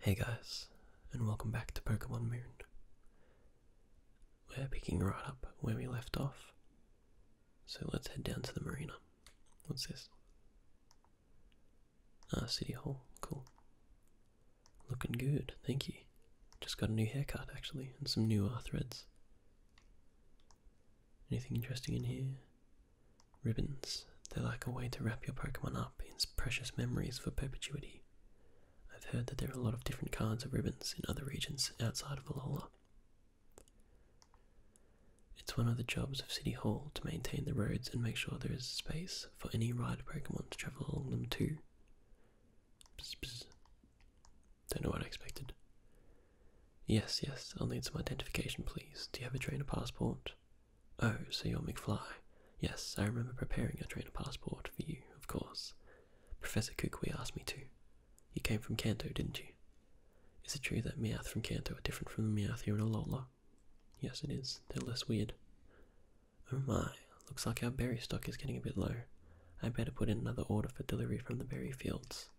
Hey guys, and welcome back to Pokemon Moon. We're picking right up where we left off, so let's head down to the marina. What's this? Ah, City Hall, cool. Looking good, thank you. Just got a new haircut actually, and some new R uh, threads. Anything interesting in here? Ribbons. They're like a way to wrap your Pokemon up in precious memories for perpetuity. I've heard that there are a lot of different kinds of ribbons in other regions outside of Alola. It's one of the jobs of City Hall to maintain the roads and make sure there is space for any rider Pokemon to travel along them too. Psst, Don't know what I expected. Yes, yes, I'll need some identification, please. Do you have a trainer passport? Oh, so you're McFly. Yes, I remember preparing a trainer passport for you, of course. Professor Kukui asked me to. You came from Kanto, didn't you? Is it true that Meowth from Kanto are different from the Meowth here in Alola? Yes, it is. They're less weird. Oh my, looks like our berry stock is getting a bit low. I better put in another order for delivery from the berry fields.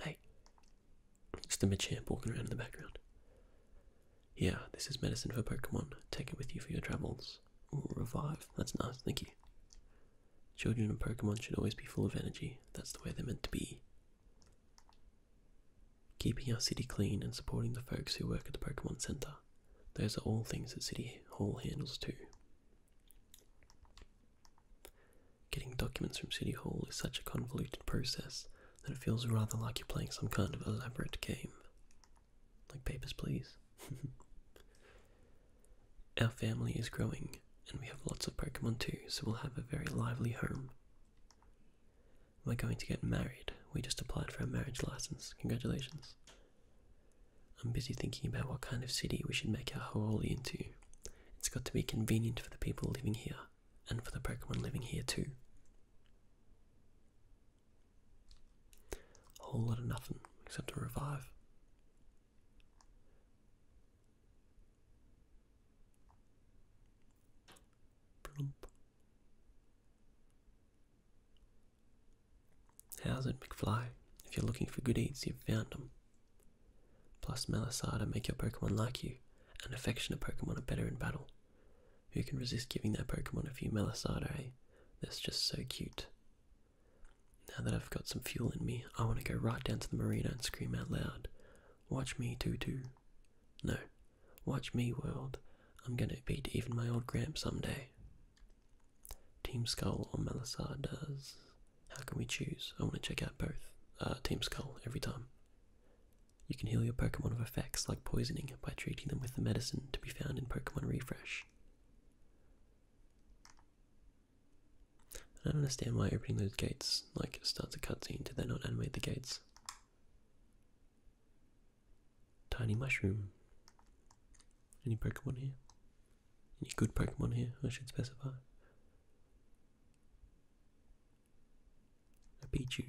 Hey, it's the champ walking around in the background. Yeah, this is medicine for Pokemon. Take it with you for your travels. revive. That's nice, thank you. Children and Pokemon should always be full of energy. That's the way they're meant to be. Keeping our city clean and supporting the folks who work at the Pokemon Center. Those are all things that City Hall handles too. Getting documents from City Hall is such a convoluted process that it feels rather like you're playing some kind of elaborate game. Like Papers, Please. Our family is growing, and we have lots of Pokemon too, so we'll have a very lively home. We're going to get married. We just applied for a marriage license. Congratulations. I'm busy thinking about what kind of city we should make our Hooli into. It's got to be convenient for the people living here, and for the Pokemon living here too. A Whole lot of nothing, except to revive. How's it, McFly? If you're looking for good eats, you've found them. Plus, Melisada make your Pokemon like you, and affectionate Pokemon are better in battle. Who can resist giving their Pokemon a few Melisada, eh? That's just so cute. Now that I've got some fuel in me, I want to go right down to the marina and scream out loud, Watch me, Tutu. No, Watch me, world. I'm gonna beat even my old Gramp someday. Team Skull or Malasar does. How can we choose? I want to check out both. Uh, Team Skull every time. You can heal your Pokemon of effects like poisoning by treating them with the medicine to be found in Pokemon Refresh. I don't understand why opening those gates like starts a cutscene. Did they not animate the gates? Tiny mushroom. Any Pokemon here? Any good Pokemon here? I should specify. A Pichu.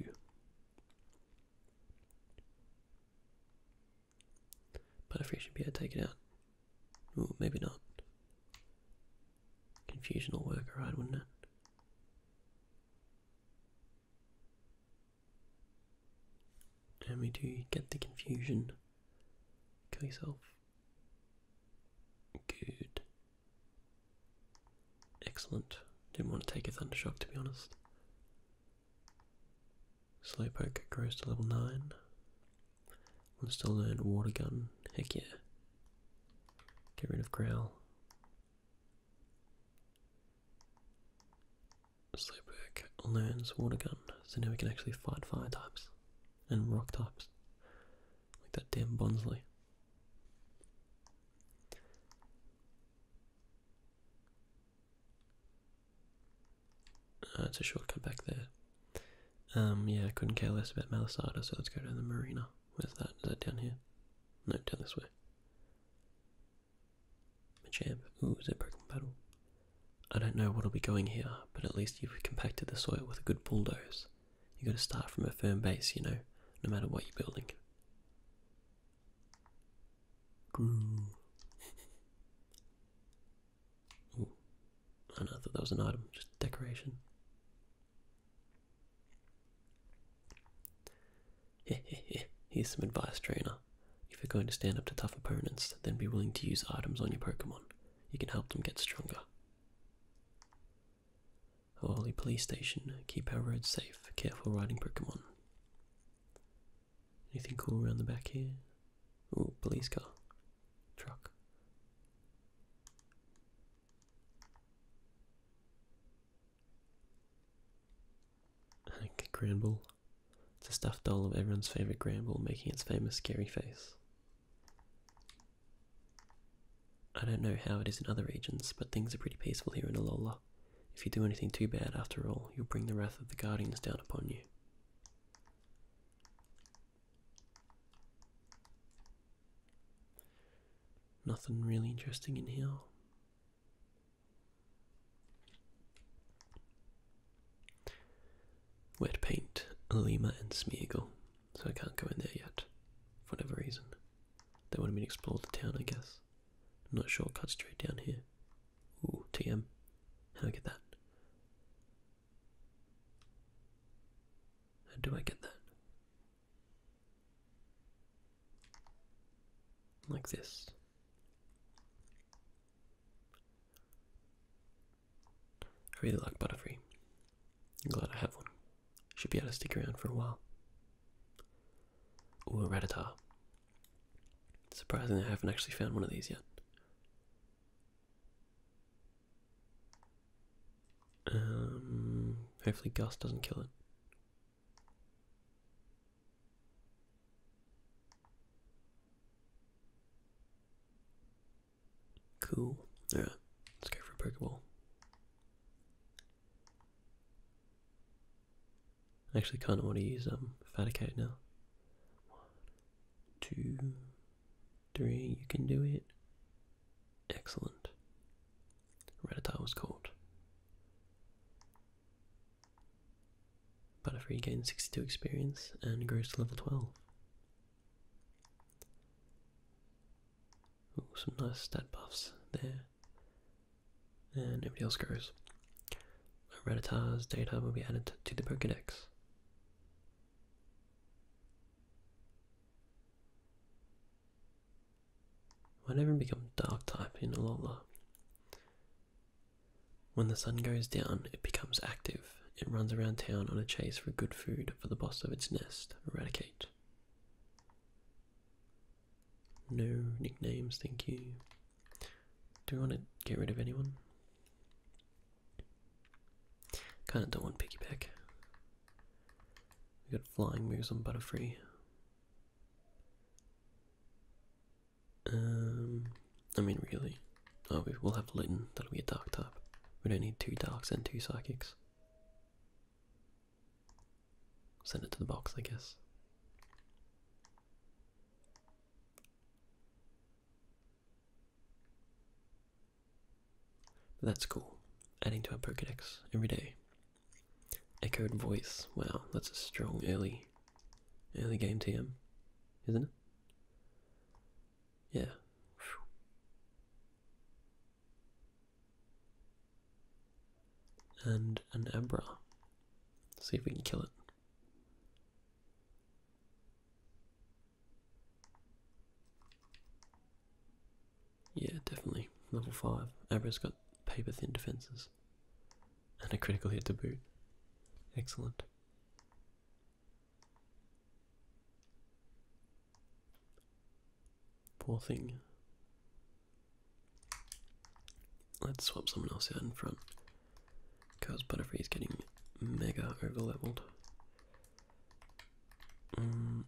Butterfree should be able to take it out. Ooh, maybe not. Confusion will work alright, wouldn't it? And we do get the confusion. Kill yourself. Good. Excellent. Didn't want to take a thunder shock. to be honest. Slowpoke grows to level 9. Wants to learn Water Gun. Heck yeah. Get rid of Growl. Slowpoke learns water gun, so now we can actually fight fire types and rock types. Like that damn Bonsley. Uh, it's a shortcut back there. Um, yeah, couldn't care less about Malisada, so let's go to the marina. Where's that? Is that down here? No, down this way. Machamp. Ooh, is it broken battle? I don't know what'll be going here, but at least you've compacted the soil with a good bulldoze. You gotta start from a firm base, you know, no matter what you're building. Groo. Ooh. I know, I that was an item, just decoration. Here's some advice, trainer. If you're going to stand up to tough opponents, then be willing to use items on your Pokemon. You can help them get stronger. Holy police station, keep our roads safe. Careful riding Pokemon. Anything cool around the back here? Oh, police car. Truck. Granbull. It's a stuffed doll of everyone's favourite Granbull making its famous scary face. I don't know how it is in other regions, but things are pretty peaceful here in Alola. If you do anything too bad, after all, you'll bring the wrath of the Guardians down upon you. Nothing really interesting in here. Wet paint, Lima, and Smeagol, so I can't go in there yet, for whatever reason. They wanted me be explore the town, I guess. I'm not sure, straight down here. Ooh, TM. How do I get that? How do I get that? Like this. I really like Butterfree. I'm glad I have one. Should be able to stick around for a while. Ooh, a Rattata. Surprisingly, I haven't actually found one of these yet. Um, hopefully Gus doesn't kill it. Cool. Yeah, let's go for a Pokeball. I actually kind of want to use um Faticate now. One, two, three. You can do it. Excellent. Rattatile's Court. Butterfree gains 62 experience and grows to level 12. Ooh, some nice stat buffs there. And everybody else grows. Rattatile's data will be added to the Pokedex. Why don't become dark type in a Alola? When the sun goes down, it becomes active. It runs around town on a chase for good food for the boss of its nest, Eradicate. No nicknames, thank you. Do we want to get rid of anyone? Kinda don't want piggyback. We got flying moves on Butterfree. Um, I mean, really. Oh, we'll have Litten. That'll be a dark type. We don't need two darks and two psychics. Send it to the box, I guess. that's cool. Adding to our Pokedex every day. Echoed voice. Wow, that's a strong early, early game TM, isn't it? Yeah. And an Abra. See if we can kill it. Yeah, definitely. Level 5. Abra's got paper thin defenses. And a critical hit to boot. Excellent. Poor thing. Let's swap someone else out in front. Because Butterfree is getting mega overleveled. Um,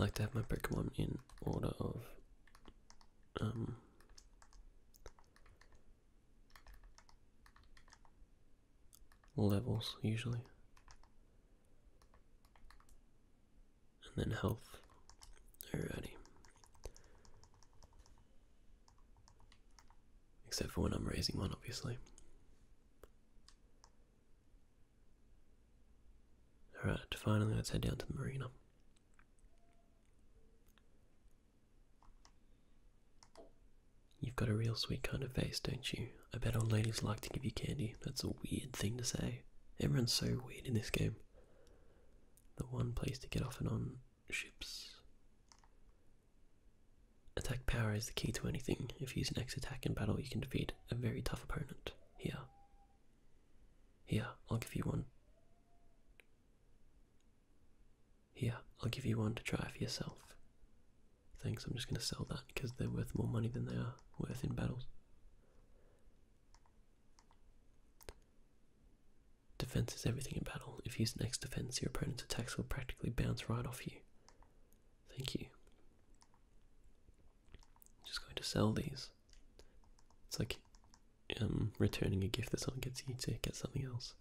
I like to have my Pokemon in order of um, levels usually. And then health. Alrighty. Except for when I'm raising one obviously. Alright, finally let's head down to the marina. You've got a real sweet kind of face, don't you? I bet old ladies like to give you candy. That's a weird thing to say. Everyone's so weird in this game. The one place to get off and on ships Attack power is the key to anything. If you use an X attack in battle, you can defeat a very tough opponent. Here. Here, I'll give you one. Here, I'll give you one to try for yourself. Thanks, I'm just going to sell that because they're worth more money than they are worth in battles. Defense is everything in battle. If you use an X defense, your opponent's attacks will practically bounce right off you. Thank you. I'm just going to sell these. It's like um, returning a gift that someone gets you to get something else.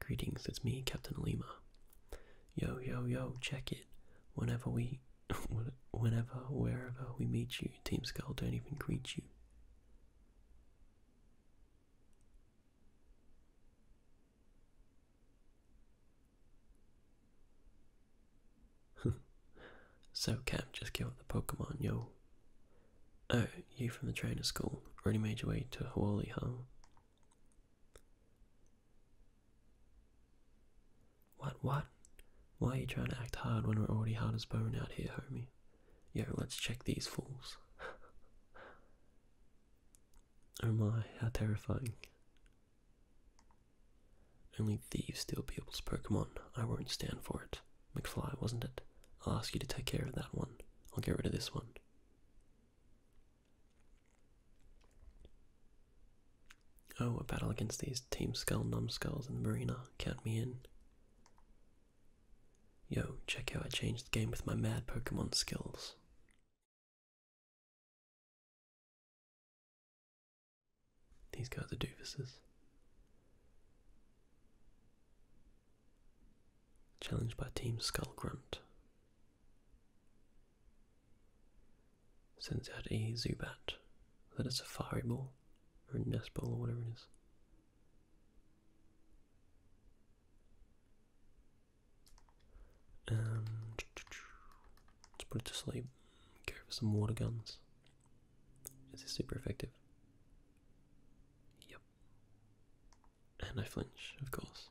Greetings, it's me, Captain Lima. Yo, yo, yo, check it. Whenever we, whenever, wherever we meet you, Team Skull don't even greet you. so Cam, just kill the Pokemon, yo. Oh, you from the trainer school. Already made your way to Hawaii, huh? What, what? Why are you trying to act hard when we're already hard as bone out here, homie? Yo, let's check these fools. Oh my, how terrifying. Only thieves steal people's Pokemon. I won't stand for it. McFly, wasn't it? I'll ask you to take care of that one. I'll get rid of this one. Oh, a battle against these Team Skull, Numbskulls, the Marina. Count me in. Yo, check how I changed the game with my mad Pokemon skills. These guys are doofuses. Challenged by Team Skull Grunt. Sends out a Zubat. that is a Safari Ball? Or a Nest Ball or whatever it is. Um, let's put it to sleep. Go for some water guns. Is super effective? Yep. And I flinch, of course.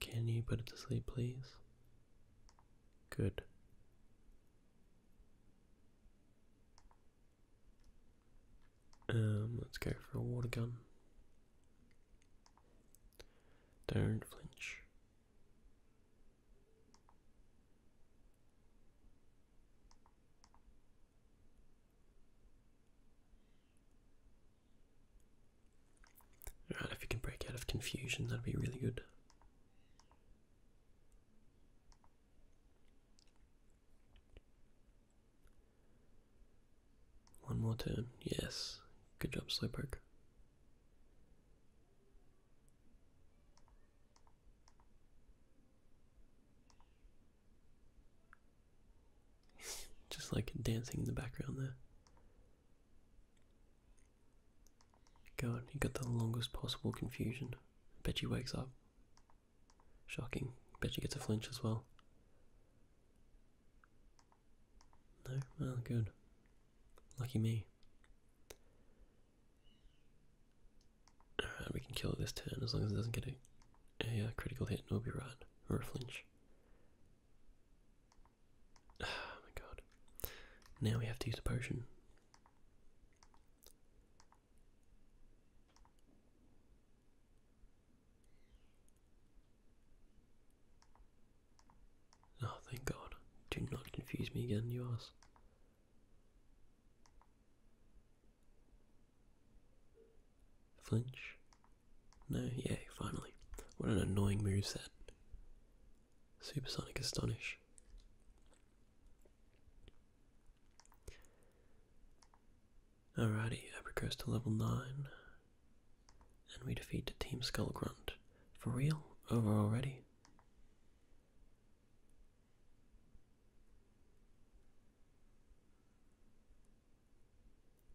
Can you put it to sleep, please? Good. Um, let's go for a water gun. Don't flinch. Alright, if you can break out of confusion, that'd be really good. One more turn. Yes. Good job, Slowpoke. Just like dancing in the background there. God, you got the longest possible confusion. Bet she wakes up. Shocking. Bet she gets a flinch as well. No? Well, good. Lucky me. Alright, we can kill it this turn as long as it doesn't get a, uh, critical hit, we'll be right. Or a flinch. Oh my god. Now we have to use a potion. Oh, thank God. Do not confuse me again, you ass. Flinch? No, yay, finally. What an annoying move that. Supersonic Astonish. Alrighty, I Apricots to level 9. And we defeat the Team Skullgrunt. For real? Over already?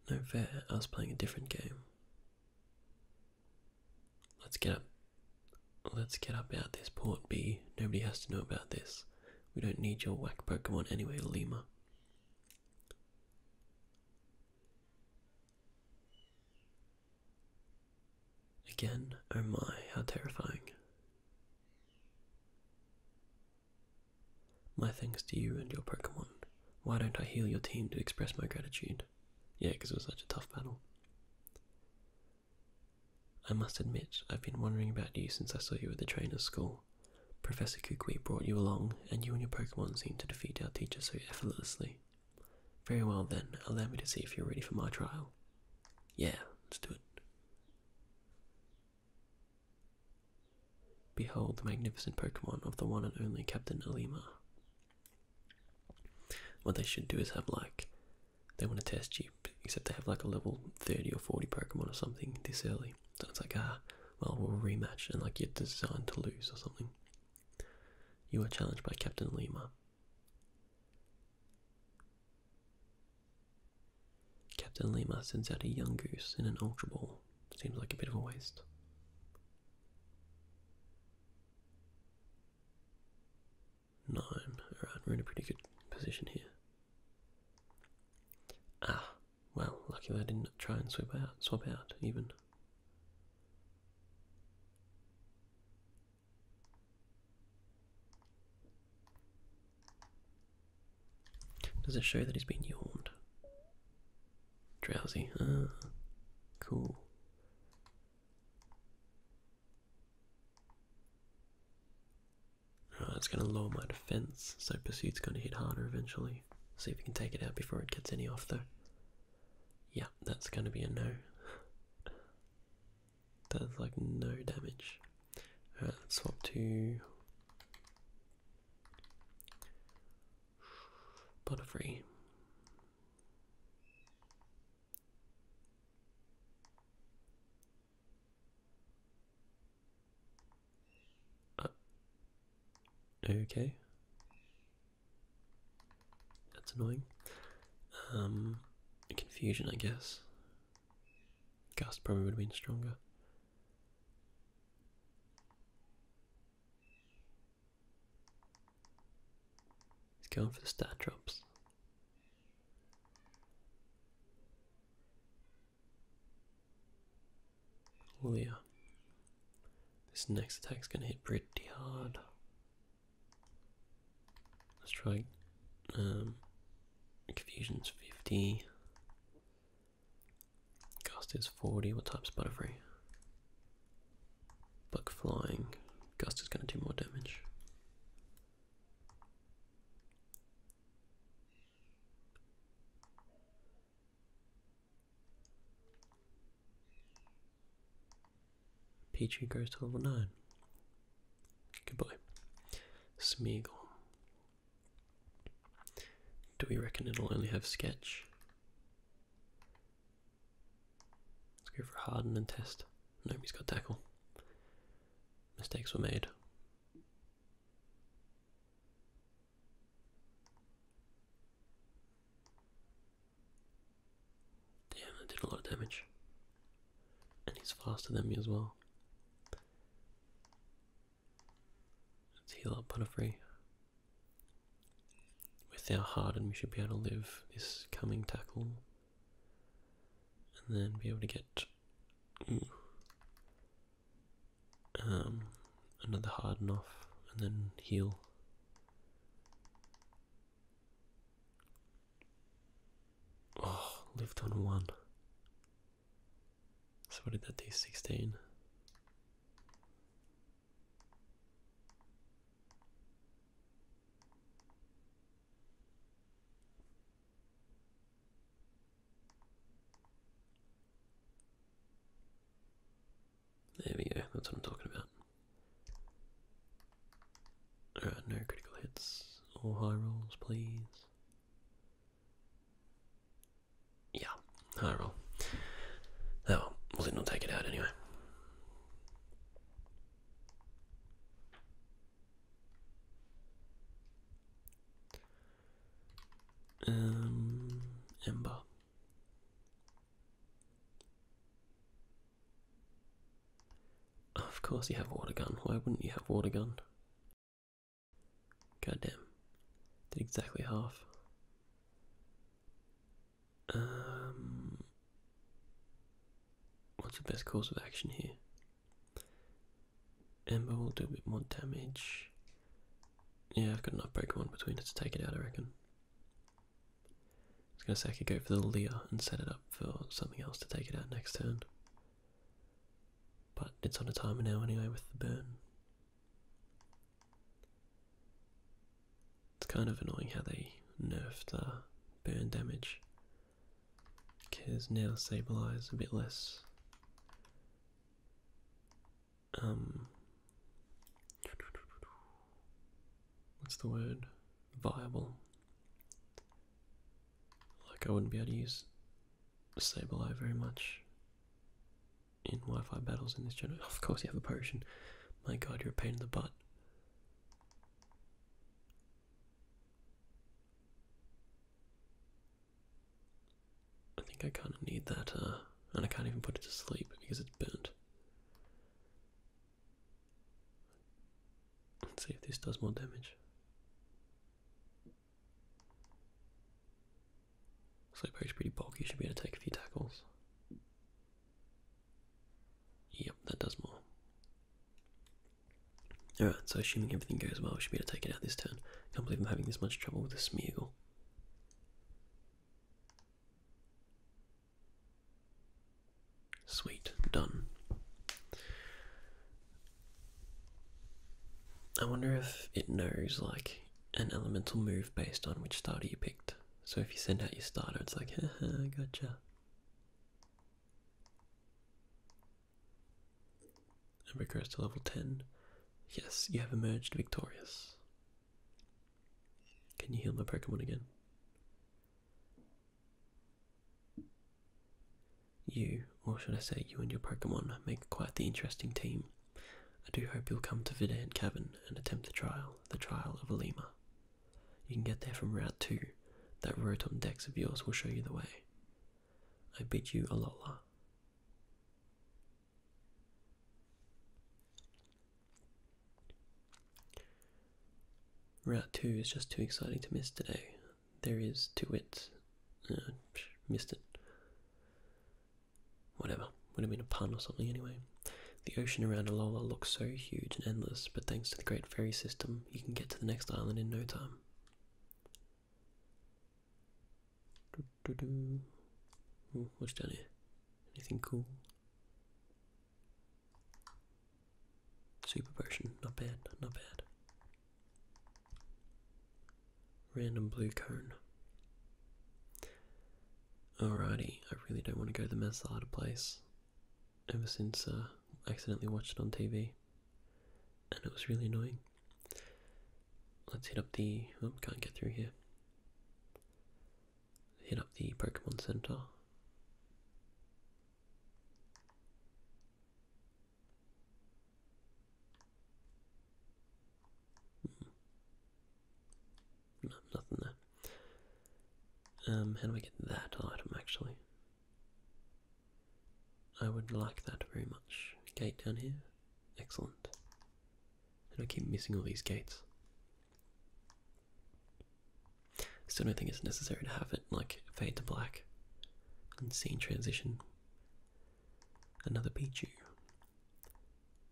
No fair, I was playing a different game. Let's get up. Let's get up out this port, B. Nobody has to know about this. We don't need your whack Pokemon anyway, Lima. Again, oh my, how terrifying. My thanks to you and your Pokemon. Why don't I heal your team to express my gratitude? Yeah, because it was such a tough battle. I must admit, I've been wondering about you since I saw you at the trainer's school. Professor Kukui brought you along, and you and your Pokemon seemed to defeat our teacher so effortlessly. Very well then, allow me to see if you're ready for my trial. Yeah, let's do it. Behold the magnificent Pokemon of the one and only Captain Alima. What they should do is have like they want to test you, except they have like a level 30 or 40 Pokemon or something this early. So it's like, ah, well, we'll rematch and like you're designed to lose or something. You are challenged by Captain Lima. Captain Lima sends out a young goose in an Ultra Ball. Seems like a bit of a waste nine. Alright, we're in a pretty good position here. Ah, well, lucky I didn't try and swap out, swap out even. Does it show that he's been yawned? Drowsy. Ah, cool. Oh, it's going to lower my defense, so Pursuit's going to hit harder eventually. See if we can take it out before it gets any off though. Yeah, that's going to be a no. that's like no damage. Alright, swap to... Butterfree. Uh, okay. That's annoying. Um, confusion, I guess. Gust probably would have been stronger. He's going for the stat drops. Oh yeah. This next attack's gonna hit pretty hard. Let's try um confusion's fifty. Gust is forty, what type's butterfree? Buck flying. Gust is gonna do more damage. Petrie goes to level 9. Goodbye. Do we reckon it'll only have sketch? Let's go for Harden and Test. No, he's got tackle. Mistakes were made. Damn, that did a lot of damage. And he's faster than me as well. Let's heal up Butterfree. With our Harden, we should be able to live this coming tackle and then be able to get um, another harden off and then heal. Oh, lived on one. So what did that do? 16. There we go, that's what I'm talking about. no critical hits or high rolls, please. Yeah, high roll. Oh well, then we'll take it out anyway. Um, Of course you have water gun. Why wouldn't you have water gun? God damn. Did exactly half. Um What's the best course of action here? Ember will do a bit more damage. Yeah, I've got enough broken one between us to take it out, I reckon. I was gonna say I could go for the Leer and set it up for something else to take it out next turn. But it's on a timer now anyway with the burn. It's kind of annoying how they nerfed the burn damage. Because now Sableye a bit less. Um. What's the word? Viable. Like, I wouldn't be able to use Sableye very much in Wi Fi battles in this general. Of course, you have a potion. My god, you're a pain in the butt. I think I kind of need that, uh, and I can't even put it to sleep because it's burnt. Let's see if this does more damage. Sleep is pretty bulky, should be able to take a few tackles. Yep, that does more. Alright, so assuming everything goes well, we should be able to take it out this turn. Can't believe I'm having this much trouble with the Smeargle. Sweet, done. I wonder if it knows like an elemental move based on which starter you picked. So if you send out your starter, it's like, ha ha, gotcha and recurs to level 10. Yes, you have emerged victorious. Can you heal my Pokemon again? You, or should I say you and your Pokemon, make quite the interesting team. I do hope you'll come to Vidant Cavern and attempt the trial, the trial of a you can get there from Route 2. That Rotom Dex of yours will show you the way. I bid you a Alola. Route 2 is just too exciting to miss today. There is, to wit, uh, missed it. Whatever, would have been a pun or something anyway. The ocean around Alola looks so huge and endless, but thanks to the great ferry system, you can get to the next island in no time. what's down here? Anything cool? Super potion, not bad, not bad. Random blue cone. Alrighty, I really don't want to go to the mess place ever since uh, I accidentally watched it on TV, and it was really annoying. Let's hit up the. Oh, can't get through here. Hit up the Pokemon Center. Hmm. nothing there. Um, how do I get that item actually? I would like that very much. Gate down here. Excellent. And I keep missing all these gates. Still don't think it's necessary to have it like fade to black and scene transition. Another Pichu.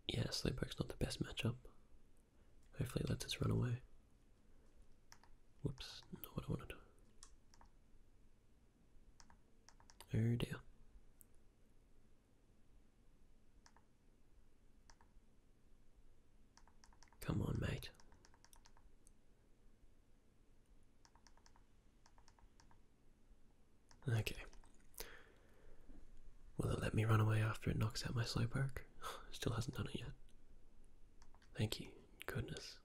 Yeah, Slowpoke's not the best matchup. Hopefully it lets us run away. Whoops, not what I wanted. Oh dear. Come on, mate. Okay. Will it let me run away after it knocks out my Slowpoke? Still hasn't done it yet. Thank you. Goodness.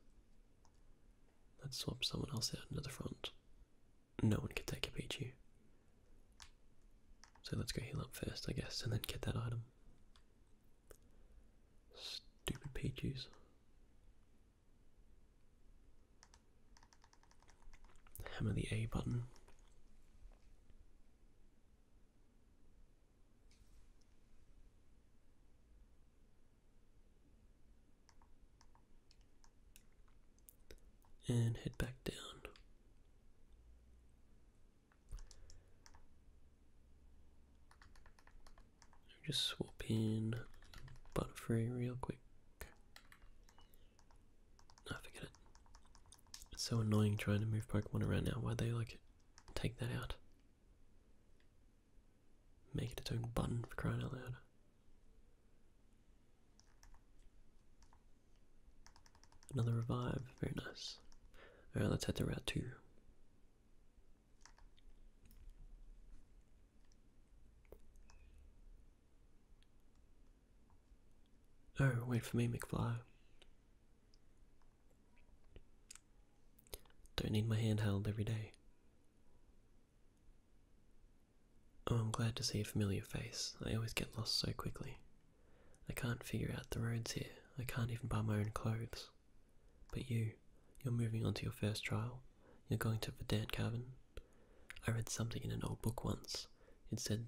Let's swap someone else out into the front. No one can take a Pichu. So let's go heal up first, I guess, and then get that item. Stupid Pichus. Hammer the A button and head back down. Just swap in Butterfree real quick. I forget it. It's so annoying trying to move Pokemon around now. Why they like take that out? Make it its own button for crying out loud. Another revive, very nice. Alright, let's head to Route 2. Oh, wait for me, McFly. Don't need my hand held every day. Oh, I'm glad to see a familiar face. I always get lost so quickly. I can't figure out the roads here. I can't even buy my own clothes. But you, you're moving on to your first trial. You're going to the Dan Cavern. I read something in an old book once. It said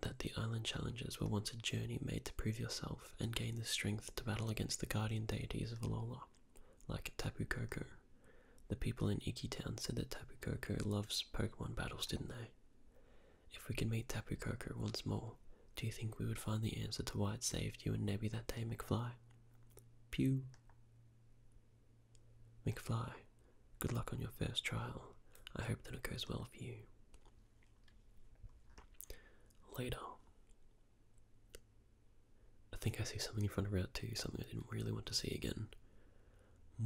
that the island challenges were once a journey made to prove yourself and gain the strength to battle against the guardian deities of Alola like Tapu Koko. The people in Iki Town said that Tapu Koko loves Pokemon battles, didn't they? If we could meet Tapu Koko once more, do you think we would find the answer to why it saved you and Nebby that day, McFly? Pew. McFly, good luck on your first trial. I hope that it goes well for you. Later. I think I see something in front of Route 2, something I didn't really want to see again.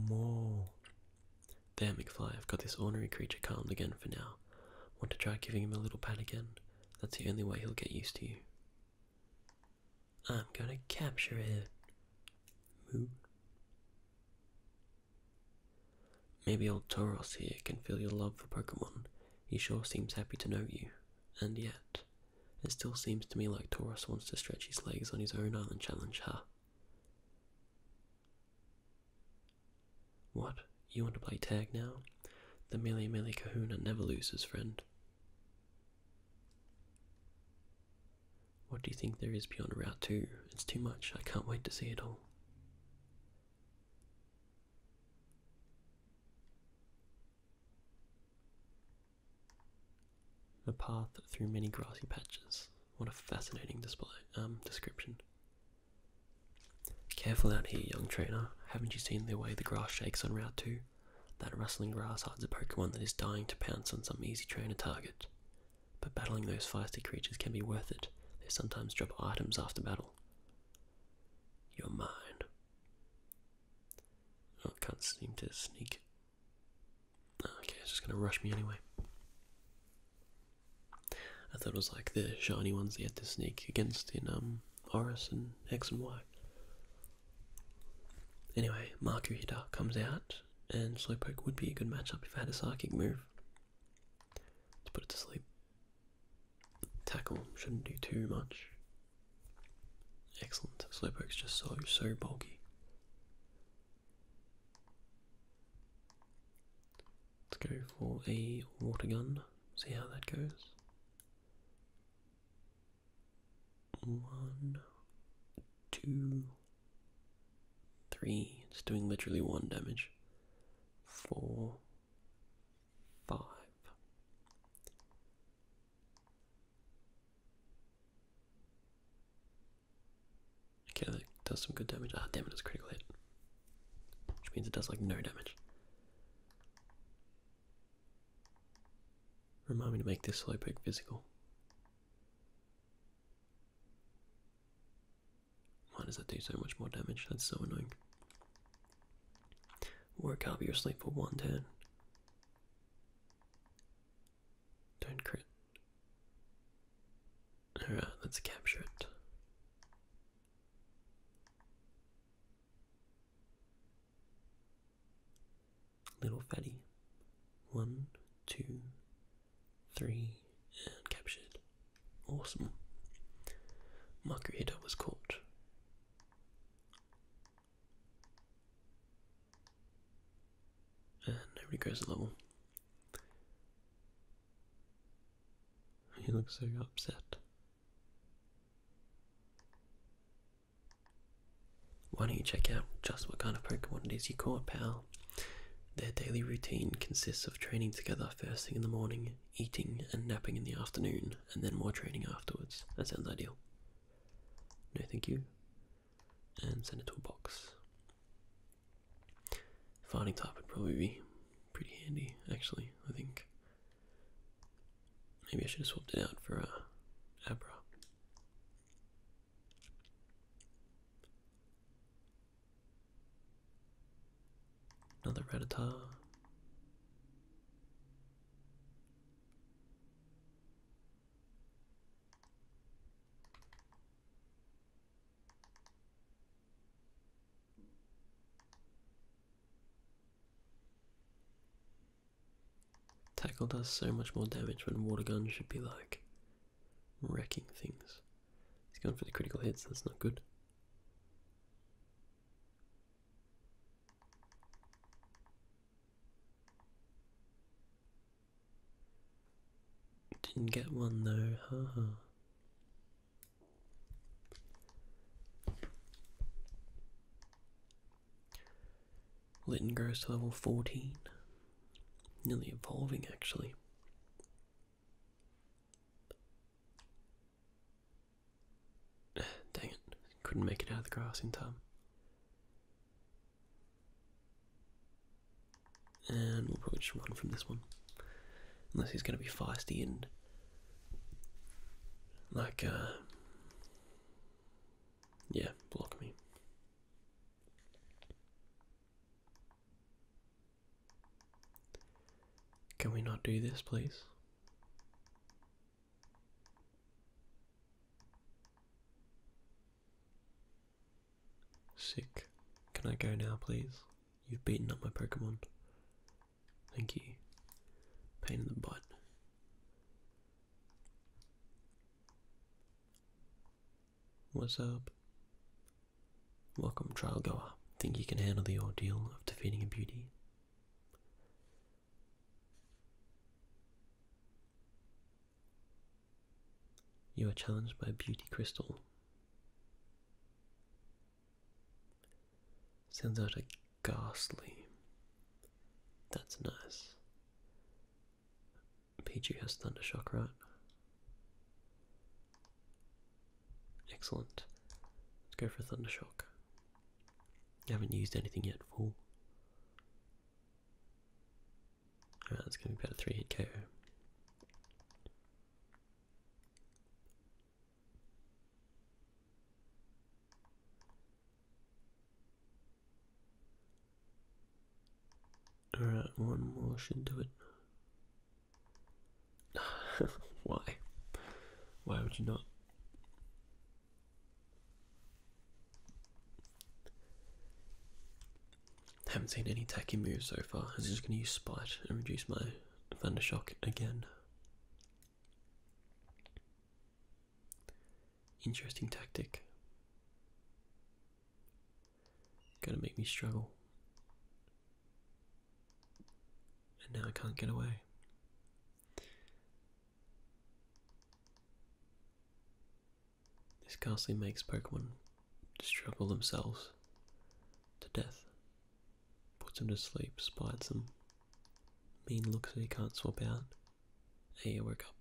Whoa. There, McFly, I've got this ornery creature calmed again for now. Want to try giving him a little pat again? That's the only way he'll get used to you. I'm gonna capture it. Maybe old Tauros here can feel your love for Pokemon. He sure seems happy to know you and yet, it still seems to me like Taurus wants to stretch his legs on his own island challenge, huh? What? You want to play tag now? The Millie Millie Kahuna never loses, friend. What do you think there is beyond Route 2? It's too much. I can't wait to see it all. A path through many grassy patches. What a fascinating display um, description. Careful out here, young trainer. Haven't you seen the way the grass shakes on Route 2? That rustling grass hides a Pokemon that is dying to pounce on some easy trainer target. But battling those feisty creatures can be worth it. They sometimes drop items after battle. Your mind. Oh, I can't seem to sneak. Oh, okay, it's just gonna rush me anyway. I thought it was like the shiny ones they had to sneak against in um Horus and X and Y. Anyway, Makuhita comes out, and Slowpoke would be a good matchup if I had a psychic move. Let's put it to sleep. Tackle shouldn't do too much. Excellent. Slowpoke's just so, so bulky. Let's go for a water gun, see how that goes. One, two, three. It's doing literally one damage. Four, five. Okay, that does some good damage. Ah, damn it, it's critical hit. Which means it does like no damage. Remind me to make this slow pick physical. Why does that do so much more damage? That's so annoying. Work out your sleep for one turn. do crit. Alright, let's capture it. Little fatty. One, two, three, and captured. Awesome. Margarita was caught. And he goes a level. He looks so upset. Why don't you check out just what kind of Pokemon it is you caught, pal? Their daily routine consists of training together first thing in the morning, eating and napping in the afternoon, and then more training afterwards. That sounds ideal. No, thank you. And send it to a box. Finding type would probably be pretty handy, actually, I think. Maybe I should have swapped it out for a uh, Abra. Another Rattata. Tackle does so much more damage when water gun should be like wrecking things. He's going for the critical hits, that's not good. Didn't get one though, haha. -ha. Litten goes to level 14. Nearly evolving, actually. Dang it, couldn't make it out of the grass in time. And we'll probably just run from this one. Unless he's going to be feisty and. Like, uh, Yeah, block me. Can we not do this, please? Sick. Can I go now, please? You've beaten up my Pokemon. Thank you. Pain in the butt. What's up? Welcome, trial goer. Think you can handle the ordeal of defeating a beauty? You are challenged by beauty crystal. Sends out a ghastly. That's nice. Pichu has Thundershock, right? Excellent. Let's go for Thunder Shock. You haven't used anything yet, fool. Alright, that's going to be about a 3 hit KO. Alright, one more should do it. Why? Why would you not? Haven't seen any tacky moves so far. I'm just going to use Spite and reduce my Thunder Shock again. Interesting tactic. Gonna make me struggle. And now I can't get away. This ghastly makes Pokemon struggle themselves to death, puts them to sleep, spites them, mean looks that he can't swap out. Hey, I woke up.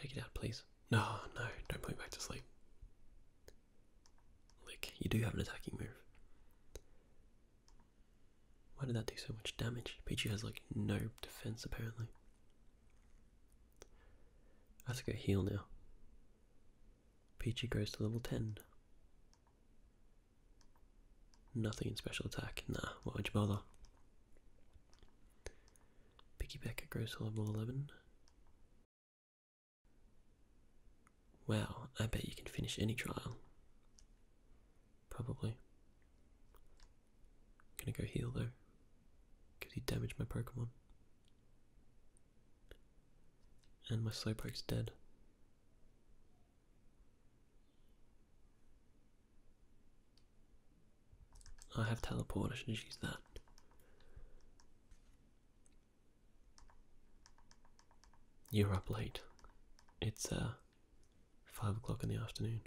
Take it out, please. No, no, don't put me back to sleep. Look, you do have an attacking move. Why did that do so much damage? Pichu has like no defense apparently. I have to go heal now. Pichu goes to level 10. Nothing in special attack. Nah, why would you bother? Piggybacker goes to level 11. Wow, I bet you can finish any trial. Probably. Gonna go heal though. Because he damaged my Pokemon. And my Slowpoke's dead. I have teleport, I should use that. You're up late. It's uh five o'clock in the afternoon.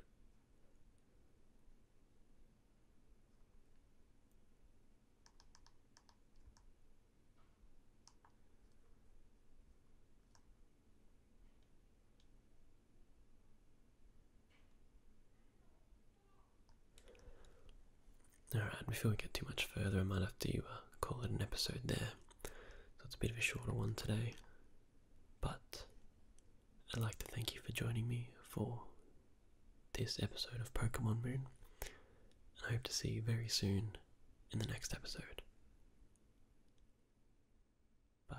Alright, before we get too much further, I might have to uh, call it an episode there. So it's a bit of a shorter one today. But I'd like to thank you for joining me for this episode of Pokemon Moon, and I hope to see you very soon in the next episode. Bye.